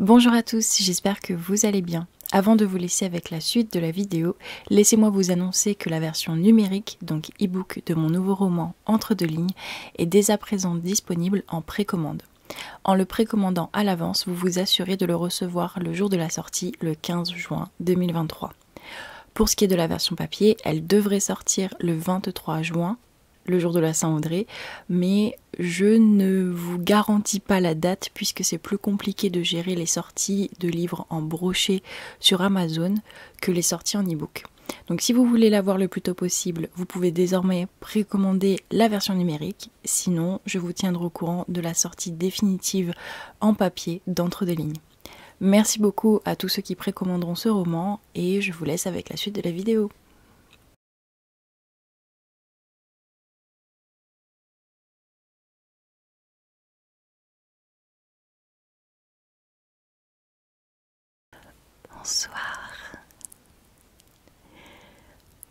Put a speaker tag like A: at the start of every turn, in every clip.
A: Bonjour à tous, j'espère que vous allez bien. Avant de vous laisser avec la suite de la vidéo, laissez-moi vous annoncer que la version numérique, donc e-book de mon nouveau roman Entre deux lignes, est dès à présent disponible en précommande. En le précommandant à l'avance, vous vous assurez de le recevoir le jour de la sortie, le 15 juin 2023. Pour ce qui est de la version papier, elle devrait sortir le 23 juin le jour de la Saint-André, mais je ne vous garantis pas la date puisque c'est plus compliqué de gérer les sorties de livres en brochet sur Amazon que les sorties en e-book. Donc si vous voulez l'avoir le plus tôt possible, vous pouvez désormais précommander la version numérique, sinon je vous tiendrai au courant de la sortie définitive en papier d'entre des lignes. Merci beaucoup à tous ceux qui précommanderont ce roman et je vous laisse avec la suite de la vidéo. Bonsoir.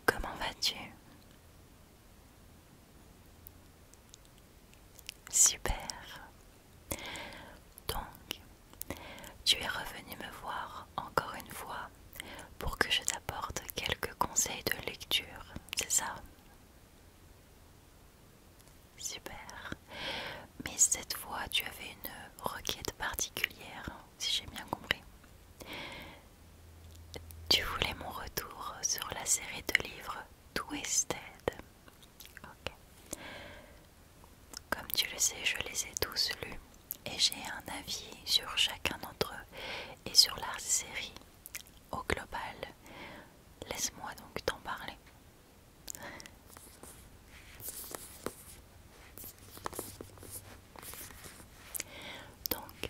A: Comment vas-tu Super. Donc, tu es revenu me voir encore une fois pour que je t'apporte quelques conseils de lecture, c'est ça Super. Mais cette fois, tu avais une requête particulière, si j'ai bien compris. Tu voulais mon retour sur la série de livres Twisted. Comme tu le sais, je les ai tous lus et j'ai un avis sur chacun d'entre eux et sur la série au global. Laisse-moi donc t'en parler. Donc,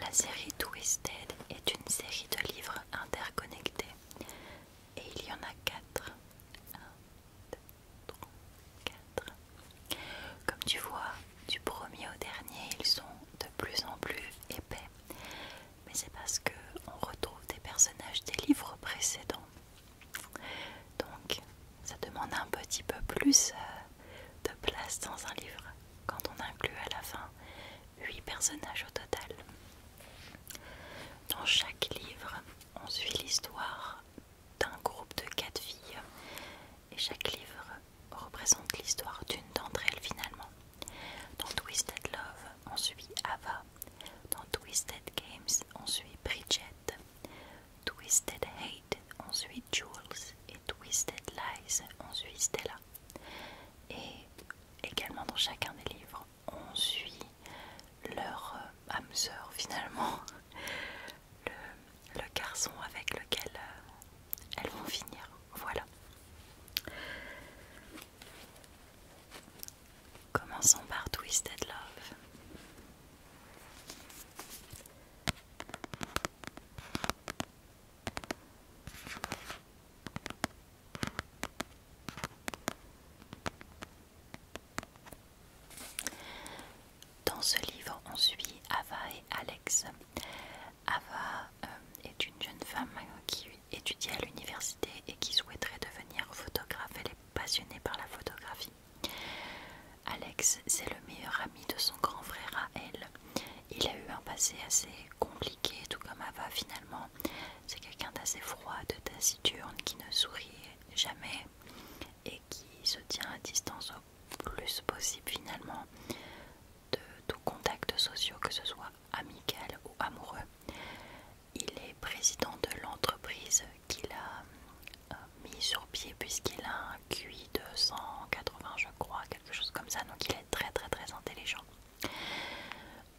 A: la série Twisted est une série de livres interconnectés et il y en a quatre. 4. Comme tu vois, du premier au dernier, ils sont de plus en plus épais. Mais c'est parce qu'on retrouve des personnages des livres précédents. Donc, ça demande un petit peu plus euh, de place dans un livre quand on inclut à la fin huit personnages au total. Dans chaque livre, on suit l'histoire d'un groupe de quatre filles et chaque livre représente l'histoire d'une d'entre elles finalement. Dans Twisted Love, on suit Ava. Dans Twisted Games, on suit Bridget. Twisted Hate, on suit Jules. Et Twisted Lies, on suit Stella. Et également dans chacun des livres, on suit leur euh, âme finalement le, garçon avec lequel euh, elles vont finir. Voilà. Commençons par Twisted Love. Dans ce livre, on suit Ava et Alex. Ava euh, est une jeune femme qui étudie à l'université et qui souhaiterait devenir photographe. Elle est passionnée par la photographie. Alex, c'est le meilleur ami de son grand frère à elle. Il a eu un passé assez compliqué, tout comme Ava finalement. C'est quelqu'un d'assez froid, de taciturne, qui ne sourit jamais et qui se tient à distance au plus possible finalement de tout contact sociaux, que ce soit amical ou amoureux. Il est président de l'entreprise qu'il a euh, mis sur pied puisqu'il a un QI de 180 je crois, quelque chose comme ça, donc il est très très très intelligent.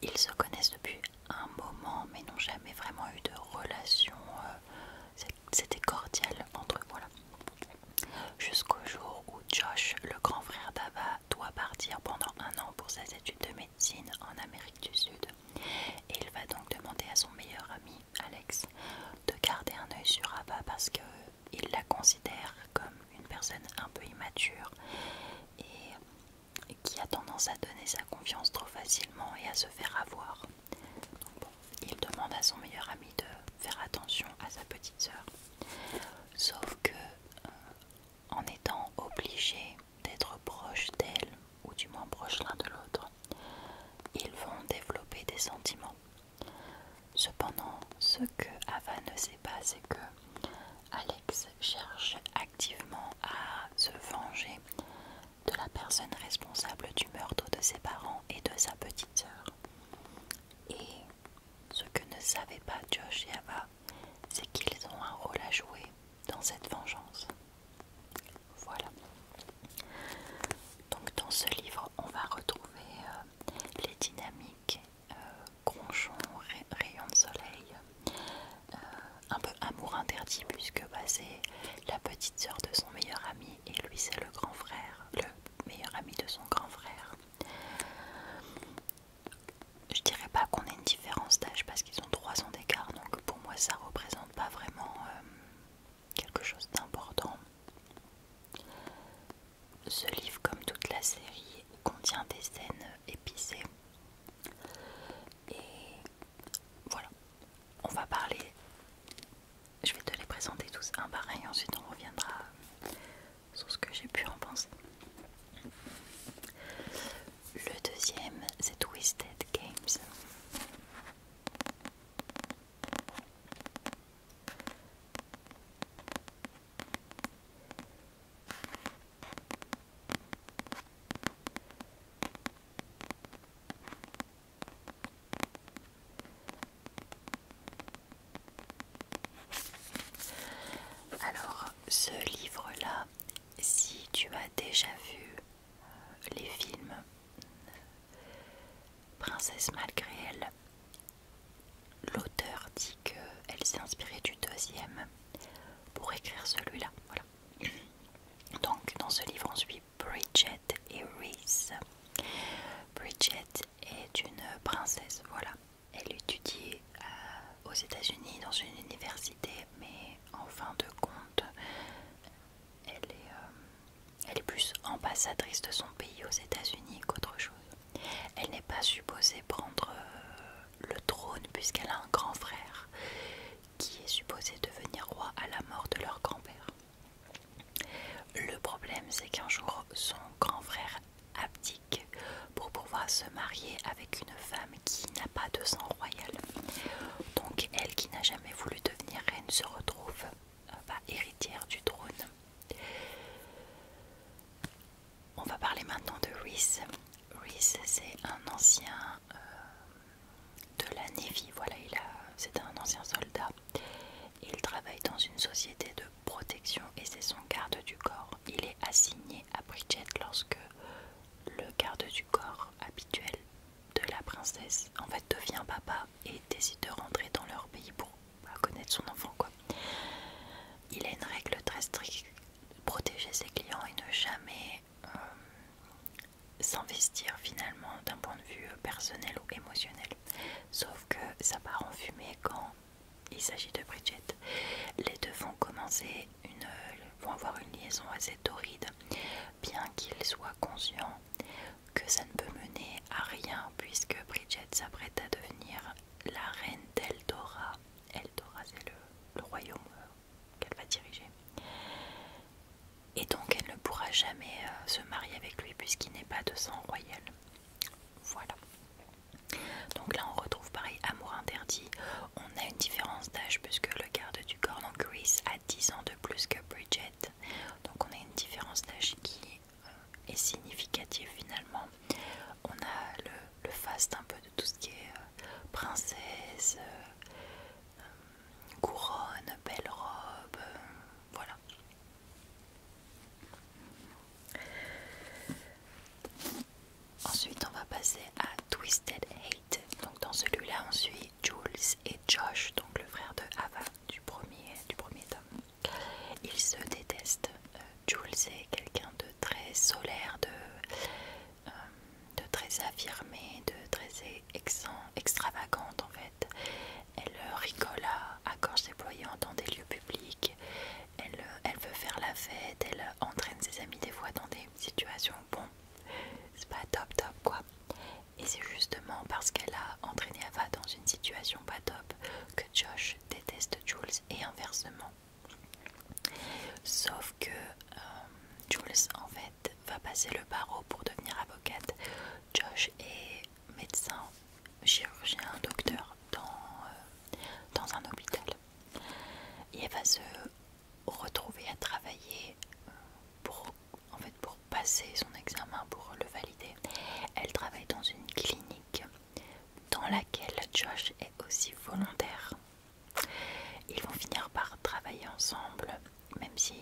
A: Ils se connaissent depuis un moment mais n'ont jamais vraiment eu de relation. Euh, c'était cordial entre eux, voilà. Jusqu'au jour où Josh, le grand frère d'Ava, doit partir pendant un an pour ses études de médecine en Amérique du Sud. Et il va donc demander à son meilleur ami, Alex, de garder un œil sur Ava parce qu'il la considère comme une personne un peu immature et qui a tendance à donner sa confiance trop facilement et à se faire avoir il demande à son meilleur ami de faire attention à sa petite sœur. Sauf que, euh, en étant obligé d'être proche d'elle, ou du moins proche l'un de l'autre, ils vont développer des sentiments. Cependant, ce que Ava ne sait pas, c'est que Alex cherche activement à se venger de la personne responsable du meurtre de ses parents et de sa petite sœur. Et ce que ne savait pas Josh et Ava, c'est qu'ils ont un rôle à jouer dans cette vengeance. Voilà. Donc dans ce livre, on va retrouver euh, les dynamiques euh, gronchons, rayons de soleil, euh, un peu amour interdit puisque basé la petite sœur de son meilleur ami et lui c'est le grand frère, le meilleur ami de son grand frère. Je dirais pas qu'on ait une différence d'âge parce qu'ils ont trois ans d'écart donc pour moi ça représente pas vraiment euh, quelque chose d'important. Ce livre comme toute la série contient des scènes épicées et voilà, on va parler. Je vais te les présenter tous un par un et ensuite on reviendra sur ce que j'ai pu en penser. Le deuxième, c'est Twisted Games. Alors, ce livre-là, si tu as déjà vu euh, les films Princesse malgré elle, l'auteur dit qu'elle s'est inspirée du deuxième pour écrire celui-là. Donc, dans ce livre, on suit Bridget et Reese. Bridget est une princesse, voilà. Elle étudie euh, aux États-Unis dans une université, mais en fin de compte, euh, elle est, plus ambassadrice de son pays aux États-Unis qu'autre chose. Elle n'est pas supposée prendre euh, le trône puisqu'elle a un grand frère qui est supposé devenir roi à la mort de leur grand-père. Le problème c'est qu'un jour son grand frère abdique pour pouvoir se marier avec une femme qui n'a pas de sang royal. Donc elle qui n'a jamais voulu devenir reine se retrouve euh, bah, héritière du trône. On va parler maintenant de Rhys. Rhys c'est un ancien euh, de la Navy. Voilà, il c'est un ancien soldat. Il travaille dans une société de protection et c'est son garde du corps. Il est assigné à Bridget lorsque le garde du corps habituel de la princesse en fait devient papa et décide de rentrer dans leur pays pour connaître son enfant Il a une règle très stricte, protéger ses clients et ne jamais euh, s'investir finalement d'un point de vue euh, personnel ou émotionnel. Sauf que ça part en fumée quand il s'agit de Bridget. Les deux vont commencer une, euh, vont avoir une liaison assez torride, bien qu'ils soient conscients que ça ne peut mener à rien puisque Bridget s'apprête à devenir la reine d'Eldora. Eldora, c'est le royaume qu'elle va diriger. Et donc elle ne pourra jamais euh, se marier avec lui puisqu'il n'est pas de sang royal. Voilà. Donc là on retrouve pareil amour interdit. On a une différence d'âge puisque le garde du corps, donc Chris, a 10 ans de plus que Bridget. Donc on a une différence d'âge qui euh, est significative finalement. On a le, faste un peu de tout ce qui est euh, princesse couronne, belle robe, voilà. Ensuite, on va passer à Twisted Hate. Donc dans celui-là, on suit Jules et Josh, donc le frère de Ava du premier, du premier tome. Ils se détestent. Euh, Jules est quelqu'un de très solaire, de euh, de très affirmée, de très extravagante en fait. Elle euh, rigole à, corps gorge en dans des lieux publics. Elle, euh, elle veut faire la fête, elle entraîne ses amis des fois dans des situations bon, c'est pas top top quoi. Et c'est justement parce qu'elle a entraîné Ava dans une situation pas top que Josh déteste Jules et inversement. Sauf que Jules en fait va passer le barreau pour devenir avocate. Josh est médecin, chirurgien, docteur dans, euh, un hôpital. Et elle va se retrouver à travailler pour passer son examen, pour le valider. Elle travaille dans une clinique dans laquelle Josh est aussi volontaire. Ils vont finir par travailler ensemble, même si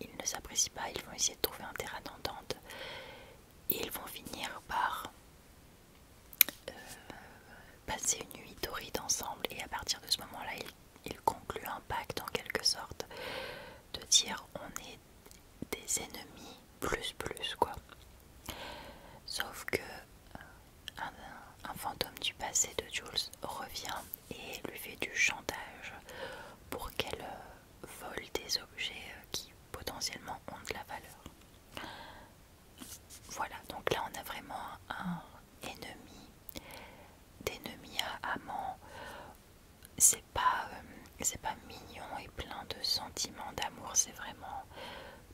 A: ils ne s'apprécient pas, ils vont essayer de trouver un terrain d'entente. Ils vont finir par euh, passer une nuit torride ensemble et à partir de ce moment-là, ils, concluent un pacte en quelque sorte de dire on est des ennemis plus plus quoi. Sauf que euh, un fantôme du passé de Jules revient et lui fait du chantage pour qu'elle euh, vole des objets euh, qui potentiellement ont de la valeur. Voilà, donc là on a vraiment un ennemi, d'ennemi à amant. C'est pas, euh, pas mignon et plein de sentiments d'amour, c'est vraiment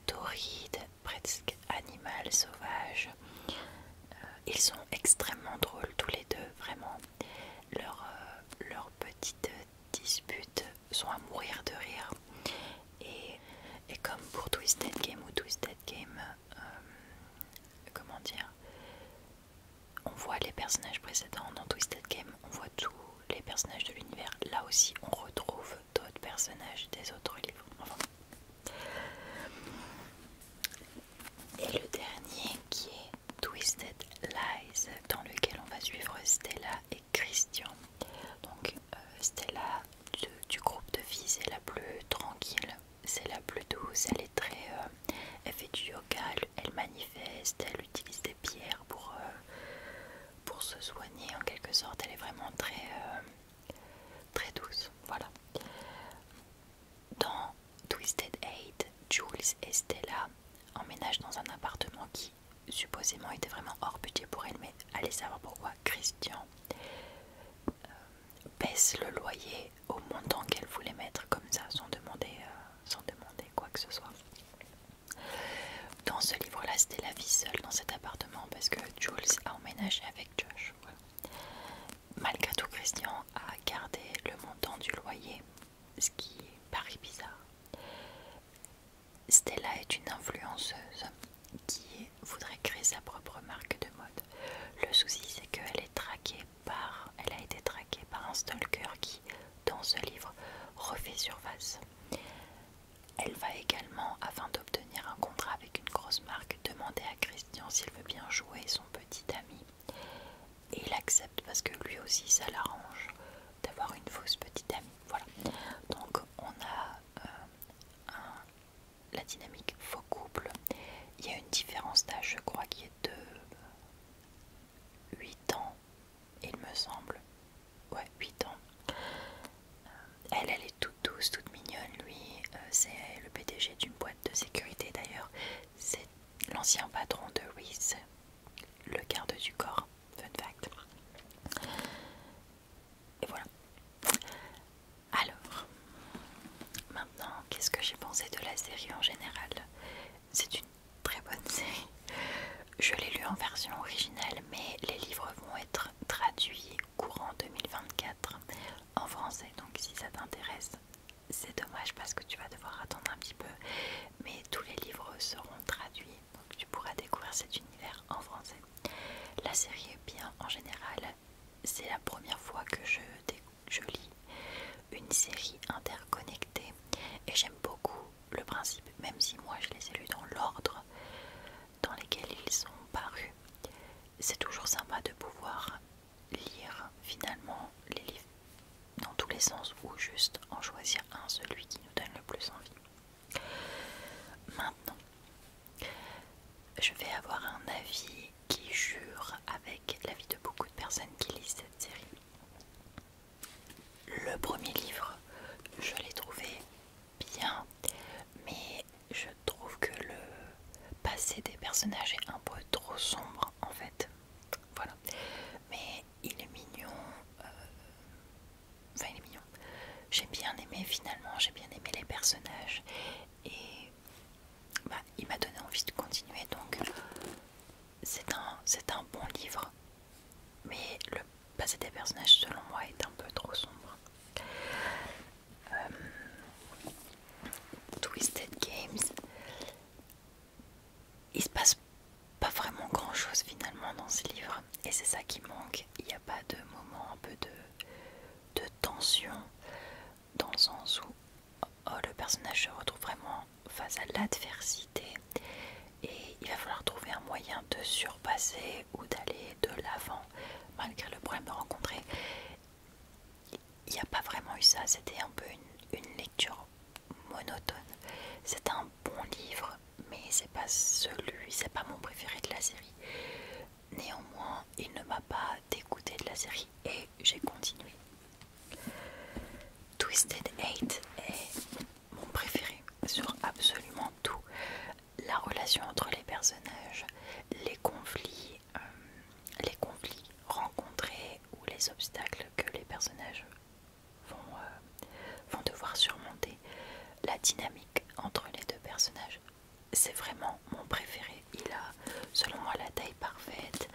A: torride, presque animal, sauvage. Euh, ils sont extrêmement drôles tous les deux, vraiment. Leurs euh, petites disputes sont à mourir de rire. Et, comme pour Twisted Game ou Twisted Game, euh, comment dire, on voit les personnages précédents dans Twisted Game, on voit tous les personnages de l'univers. Là aussi, on retrouve d'autres personnages des autres livres. Et le dernier qui est Twisted Lies, dans lequel on va suivre Stella et Christian. Donc euh, Stella du groupe de filles, c'est la plus tranquille, c'est la plus douce, elle est très... Euh, elle fait du yoga, elle, manifeste, elle utilise des pierres euh, pour, se soigner en quelque sorte, elle est vraiment très... Très douce, voilà. Dans Twisted Eight, Jules et Stella emménagent dans un appartement qui supposément était vraiment hors budget pour elle, mais allez savoir pourquoi Christian euh, baisse le loyer au montant qu'elle voulait mettre comme ça euh, sans demander quoi que ce soit. Dans ce livre-là, Stella vit seule dans cet appartement parce que Jules a emménagé avec Josh. Malgré tout, Christian a gardé le montant du loyer, ce qui paraît bizarre. Stella est une influenceuse qui voudrait créer sa propre marque de mode. Le souci, c'est qu'elle est traquée par, elle a été traquée par un stalker qui, dans ce livre, refait surface. Elle va également, afin d'obtenir un contrat avec une grosse marque demander à Christian s'il veut bien jouer son petit ami. Et il accepte parce que lui aussi ça l'arrange d'avoir une fausse petite amie. Voilà. Donc on a euh, la dynamique faux couple. Il y a une différence d'âge, je crois, qui est de 8 ans, il me semble. Ouais, 8 ans. Euh, elle, elle toute douce, toute mignonne. Lui, euh, c'est le PDG d'une boîte de sécurité d'ailleurs. C'est l'ancien patron de Reese, le garde du corps. Fun fact. Et voilà. Alors, maintenant, qu'est-ce que j'ai pensé de la série en général C'est une très bonne série. Je l'ai lu en version originale, mais les livres vont être traduits courant 2024 en français. Donc si ça t'intéresse, c'est dommage parce que tu vas devoir attendre un petit peu. Mais tous les livres seront traduits, donc tu pourras découvrir cet univers en français. La série est bien en général. C'est la première fois que je, je lis une série interconnectée et j'aime beaucoup le principe, même si moi je les ai lus dans l'ordre dans lequel ils sont parus c'est toujours sympa de pouvoir lire finalement les livres dans tous les sens ou juste en choisir un, celui qui nous donne le plus envie. Maintenant, je vais avoir un avis qui jure avec l'avis de beaucoup de personnes qui lisent cette série. Le premier livre, je l'ai trouvé bien, mais je trouve que le passé des personnages est un peu trop sombre en fait. Voilà. Mais il est mignon. Euh, enfin, il est mignon. J'ai bien aimé finalement, j'ai bien aimé les personnages. Et bah, il m'a donné envie de continuer. Donc c'est un bon livre. Mais le passé des personnages selon moi est un peu trop sombre. Euh, Twisted Games, il se passe pas vraiment grand chose finalement dans ce livre, et c'est ça qui manque. Il n'y a pas de moment un peu de, de tension dans le sens où oh, le personnage se retrouve vraiment face à l'adversité et il va falloir trouver un moyen de surpasser ou d'aller de l'avant malgré le problème de rencontrer, il n'y a pas vraiment eu ça. C'était un peu une, lecture monotone. C'est un bon livre, mais c'est pas celui, c'est pas mon préféré de la série. Néanmoins, il ne m'a pas dégoûté de la série et j'ai continué. Twisted Eight est mon préféré sur absolument tout la relation entre les personnages, euh, les conflits, rencontrés ou les obstacles que les personnages euh, vont, devoir surmonter, la dynamique entre les deux personnages. C'est vraiment mon préféré. Il a, selon moi, la taille parfaite,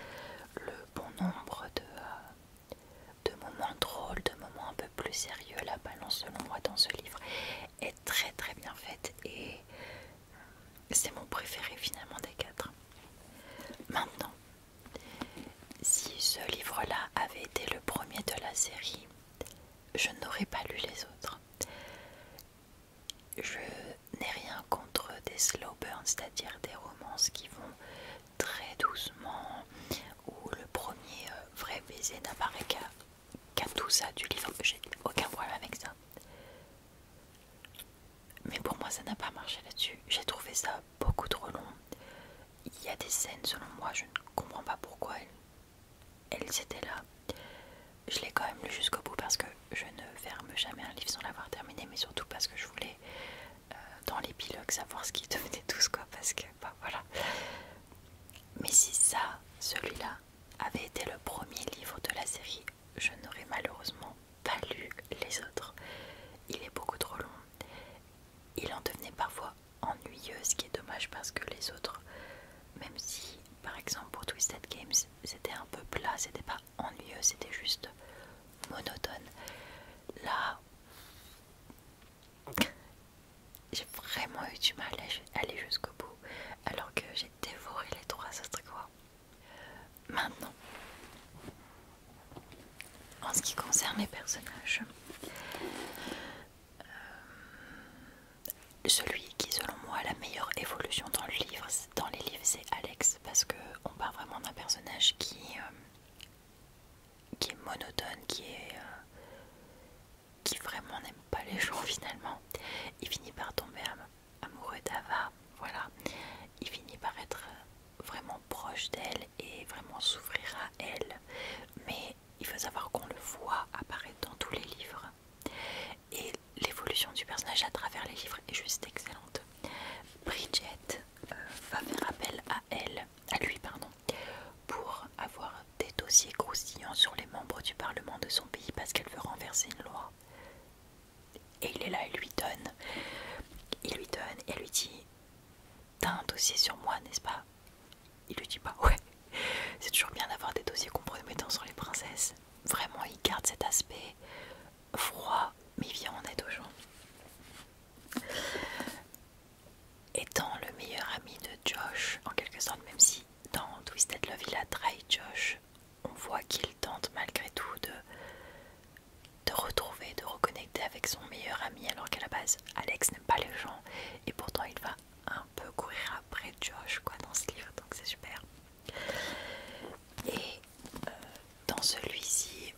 A: le bon nombre de, euh, de moments drôles, de moments un peu plus sérieux, la balance selon moi dans ce livre est très très bien faite et c'est mon préféré finalement des quatre. Maintenant, si ce livre-là avait été le premier de la série, je n'aurais pas lu les autres. Je n'ai rien contre des slow burns, c'est-à-dire des romances qui vont très doucement, où le premier euh, vrai baiser n'apparaît qu'à tout ça, du livre, j'ai aucun problème avec ça. Mais pour moi, ça n'a pas marché là-dessus. J'ai trouvé ça beaucoup trop long. Il y a des scènes, selon moi, je ne comprends pas pourquoi elles, étaient là. Je l'ai quand même lu jusqu'au bout parce que je ne ferme jamais un livre sans l'avoir terminé, mais surtout parce que je voulais, euh, dans l'épilogue, savoir ce qu'ils devenaient tous, quoi. Parce que, bah, voilà. Mais si ça, celui-là, avait été le premier livre de la série. Je n'aurais malheureusement pas lu les autres. Il est beaucoup trop long. Il en devenait parfois ennuyeux, ce qui est dommage parce que les autres, même si par exemple pour Twisted Games c'était un peu plat, c'était pas ennuyeux, c'était juste monotone. Là, j'ai vraiment eu du mal à aller jusqu'au bout alors que j'ai dévoré les trois autres quoi. Maintenant, en ce qui concerne les personnages, euh, celui qui selon moi a la meilleure évolution dans, le livre, dans les livres c'est Alex parce qu'on parle vraiment d'un personnage qui, euh, qui est monotone, qui est... Euh, qui vraiment n'aime pas les gens finalement. Il finit par tomber amoureux d'Ava, voilà. Il finit par être euh, vraiment proche d'elle et vraiment souffrir à elle. Mais il faut savoir qu'on le voit apparaître dans tous les livres. Et l'évolution du personnage à travers les livres est juste excellente. Bridget euh, va faire appel à elle, à lui pardon, pour avoir des dossiers croustillants sur les membres du Parlement de son pays parce qu'elle veut renverser une loi. Et il est là, il lui donne, il lui donne, et lui dit T'as un dossier sur moi, n'est-ce pas Il lui dit pas bah, ouais. C'est toujours bien d'avoir des dossiers compromettants sur les princesses. Vraiment, il garde cet aspect froid, mais il vient en aide aux gens. Étant le meilleur ami de Josh, en quelque sorte, même si dans Twisted Love, il a trahi Josh. On voit qu'il tente malgré tout de, de retrouver, de reconnecter avec son meilleur ami, alors qu'à la base, Alex n'aime pas les gens. Et pourtant, il va un peu courir après Josh quoi, dans ce livre, donc c'est super. Et euh, dans celui-ci,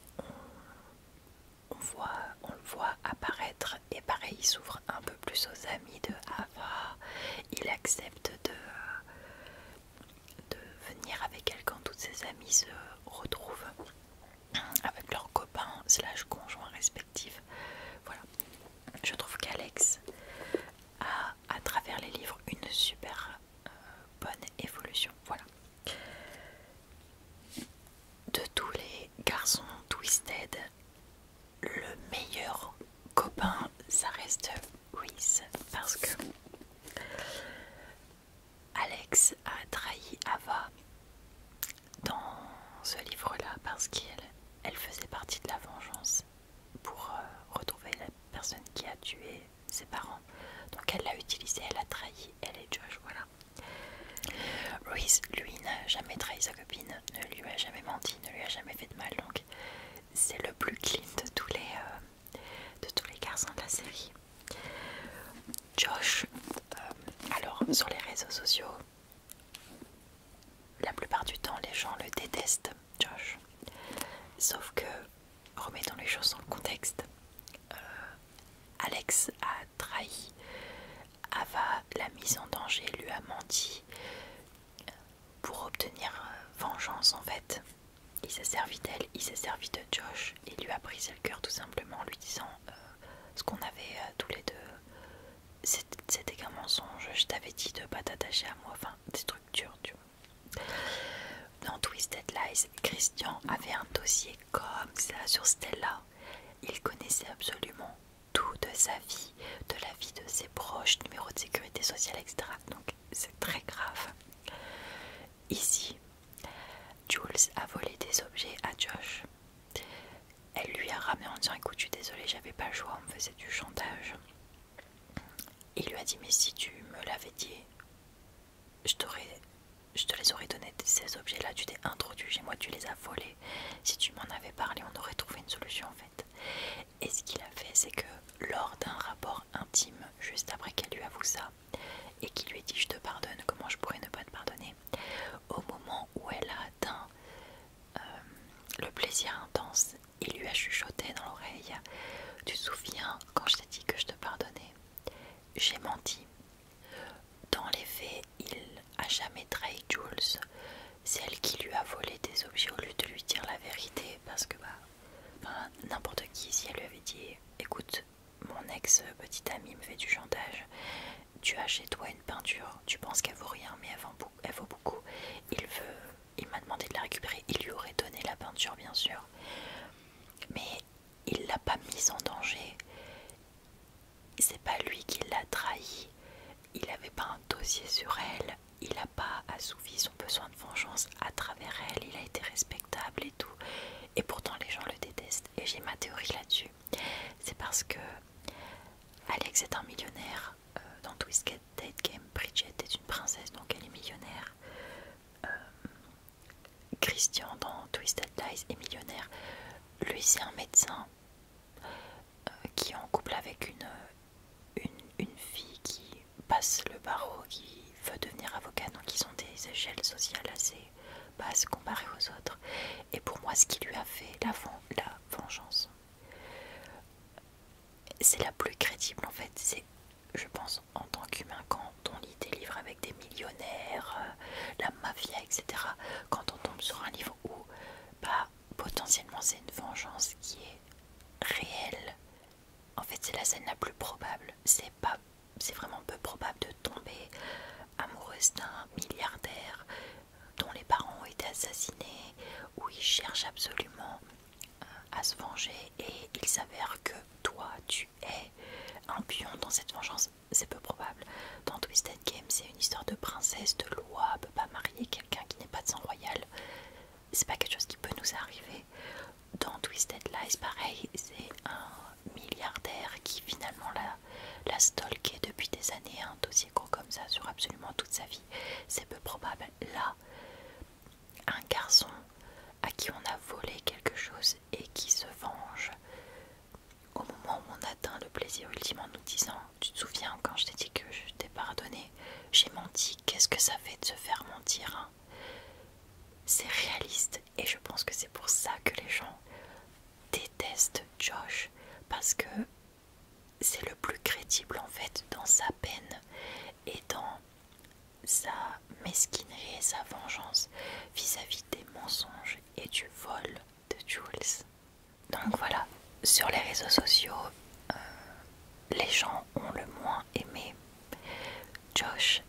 A: on, voit, on le voit apparaître, et pareil, il s'ouvre un peu plus aux amis de ah, il accepte de, euh, de venir avec elle quand toutes ses amies se retrouvent avec leurs copains slash conjoints respectifs. Voilà. Je trouve qu'Alex a à travers les livres une super euh, bonne évolution. Voilà. De tous les garçons twisted, le meilleur copain, ça reste Reese parce que Alex a trahi Ava dans ce livre-là parce qu'elle faisait partie de la vengeance pour euh, retrouver la personne qui a tué ses parents. Donc elle l'a utilisé, elle a trahi, elle est Josh, voilà. Reese, lui, n'a jamais trahi sa copine, ne lui a jamais menti ne lui a jamais fait de mal donc c'est le plus clean de tous les euh, de tous les garçons de la série Josh euh, alors sur les réseaux sociaux la plupart du temps les gens le détestent Josh sauf que remettons les choses dans le contexte euh, Alex a trahi Ava l'a mise en danger, lui a menti, pour obtenir euh, vengeance en fait. Il s'est servi d'elle, il s'est servi de Josh il lui a brisé le cœur tout simplement en lui disant euh, ce qu'on avait euh, tous les deux. C'était qu'un mensonge, je t'avais dit de pas t'attacher à moi, enfin des structures tu vois. Dans Twisted Lies, Christian avait un dossier comme ça sur Stella. Il connaissait absolument tout de sa vie, de la vie de ses proches, numéro de sécurité sociale, etc. Donc c'est très grave. Ici, Jules a volé des objets à Josh. Elle lui a ramené en disant écoute, je suis désolée, j'avais pas le choix, on faisait du chantage. Il lui a dit mais si tu me l'avais dit, je, je te les aurais donné ces objets-là, tu t'es introduit chez moi, tu les as volés. Si tu m'en avais parlé, on aurait trouvé une solution en fait. Et ce qu'il a fait, c'est que lors d'un rapport intime, juste après qu'elle lui avoue ça, et qu'il lui dit je te pardonne, comment je pourrais ne pas te pardonner, au moment où elle a atteint euh, le plaisir intense, il lui a chuchoté dans l'oreille, tu souviens quand je t'ai dit que je te pardonnais, j'ai menti. Dans les faits, il a jamais trahi Jules. Celle qui lui a volé des objets au lieu de lui dire la vérité parce que bah n'importe qui si elle lui avait dit écoute mon ex petite amie me fait du chantage tu as chez toi une peinture tu penses qu'elle vaut rien mais elle, vaut, beaucoup il veut il m'a demandé de la récupérer il lui aurait donné la peinture bien sûr mais il l'a pas mise en danger c'est pas lui qui l'a trahi, il n'avait pas un dossier sur elle, il n'a pas assouvi son besoin de vengeance à travers elle, il a été respectable et tout, et pourtant les gens le détestent. Et j'ai ma théorie là-dessus, c'est parce que Alex est un millionnaire euh, dans Twisted Date Game, Bridget est une princesse donc elle est millionnaire. Euh, Christian dans Twisted Lies est millionnaire. Lui c'est un médecin. Euh, qui est en couple avec euh, une, une, fille qui passe le barreau, qui veut devenir avocat, donc ils ont des échelles sociales assez basses comparées aux autres. Et pour moi, ce qui lui a fait la, la vengeance, c'est la plus crédible en fait. C'est, je pense, en tant qu'humain, quand on lit des livres avec des millionnaires, euh, la mafia, etc., quand on tombe sur un livre où bah, potentiellement c'est une vengeance qui est réelle. En fait, c'est la scène la plus probable. C'est pas, c'est vraiment peu probable de tomber amoureuse d'un milliardaire dont les parents ont été assassinés, où il cherche absolument euh, à se venger et il s'avère que toi, tu es un pion dans cette vengeance. C'est peu probable. Dans Twisted Game, c'est une histoire de princesse, de loi, on peut pas marier quelqu'un qui n'est pas de sang royal. C'est pas quelque chose qui peut nous arriver. Dans Twisted Lies, pareil, c'est un milliardaire qui finalement la, stalké depuis des années, un dossier gros comme ça sur absolument toute sa vie. C'est peu probable. Là, un garçon à qui on a volé quelque chose et qui se venge au moment où on atteint le plaisir ultime en nous disant Tu te souviens quand je t'ai dit que je t'ai pardonné J'ai menti, qu'est-ce que ça fait de se faire mentir hein C'est réaliste et je pense que c'est pour ça que les gens détestent Josh parce que c'est le plus crédible en fait dans sa peine et dans sa mesquinerie et sa vengeance vis à -vis des mensonges et du vol de Jules. Donc voilà, sur les réseaux sociaux, euh, les gens ont le moins aimé Josh,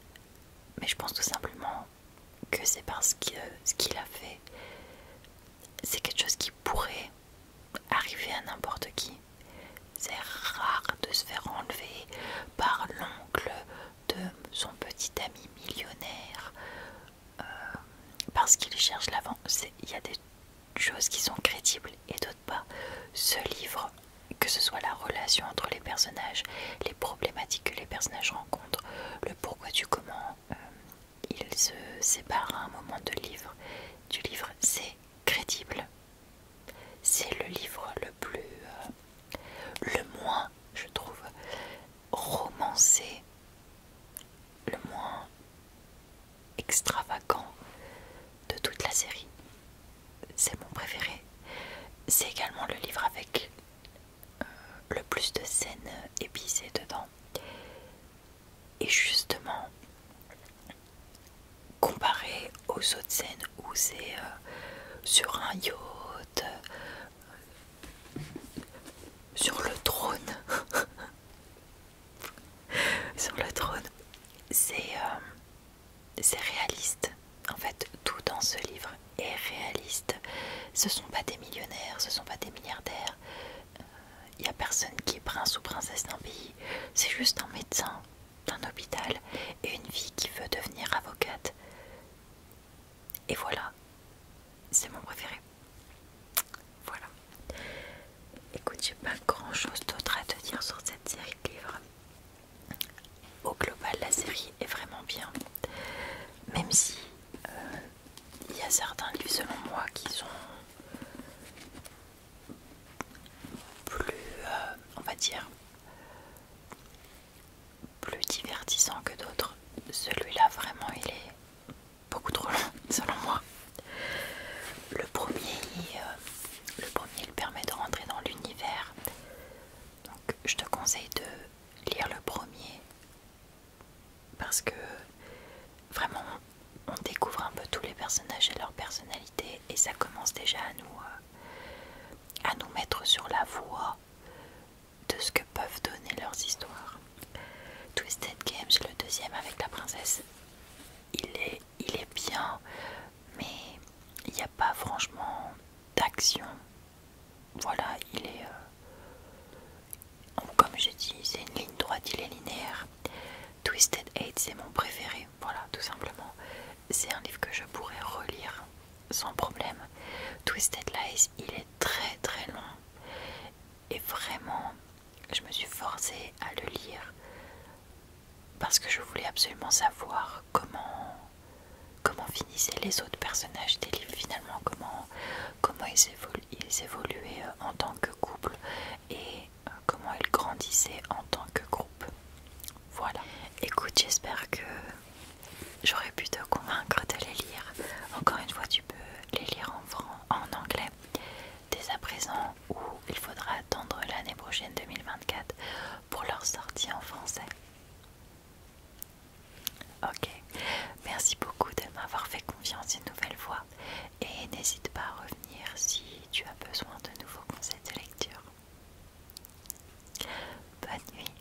A: mais je pense tout simplement que c'est parce que ce qu'il a fait, c'est quelque chose qui pourrait arriver à n'importe qui. C'est rare de se faire enlever par l'oncle de son petit ami millionnaire euh, parce qu'il cherche l'avant. Il y a des choses qui sont crédibles et d'autres pas. Ce livre, que ce soit la relation entre les personnages, les problématiques que les personnages rencontrent, le pourquoi du comment euh, ils se séparent à un moment de livre, du livre, c'est crédible. C'est le livre le plus, euh, le moins, je trouve, romancé le moins extravagant de toute la série. C'est mon préféré. C'est également le livre avec euh, le plus de scènes épicées dedans. Et justement, comparé aux autres scènes où c'est euh, sur un yacht, sur le trône. sur le trône. Euh, c'est réaliste. En fait, tout dans ce livre est réaliste. Ce sont pas des millionnaires, ce sont pas des milliardaires. Il euh, n'y a personne qui est prince ou princesse d'un pays. C'est juste un médecin d'un hôpital et une fille qui veut devenir avocate. Et voilà, c'est mon préféré. Voilà. Écoute, j'ai pas grand chose d'autre à te dire sur cette série de livres. Au global, la série est vraiment bien. Même si il euh, y a certains livres, selon moi, qui sont plus, euh, on va dire, plus divertissants que d'autres. Celui-là, vraiment, il est beaucoup trop long selon moi. Le premier, euh, le premier il permet de rentrer dans l'univers. Donc je te conseille de lire le premier parce que vraiment on découvre un peu tous les personnages et leurs personnalités et ça commence déjà à nous, euh, à nous mettre sur la voie de ce que peuvent donner leurs histoires. Twisted Games, le deuxième avec la princesse, il est, bien, mais il n'y a pas franchement d'action. Voilà, il est... Euh, comme j'ai dit, c'est une ligne droite, il est linéaire. Twisted Hate c'est mon préféré, voilà, tout simplement. C'est un livre que je pourrais relire sans problème. Twisted Lies, il est très très long et vraiment, je me suis forcée à le lire parce que je voulais absolument savoir comment, comment finissaient les autres personnages des livres finalement, comment, comment ils, ils évoluaient euh, en tant que couple et euh, comment ils grandissaient en tant que groupe. Voilà. Écoute, j'espère que J'aurais pu te convaincre de les lire. Encore une fois, tu peux les lire en, français, en anglais dès à présent ou il faudra attendre l'année prochaine 2024 pour leur sortie en français. Ok, merci beaucoup de m'avoir fait confiance une nouvelle fois et n'hésite pas à revenir si tu as besoin de nouveaux conseils de lecture. Bonne nuit.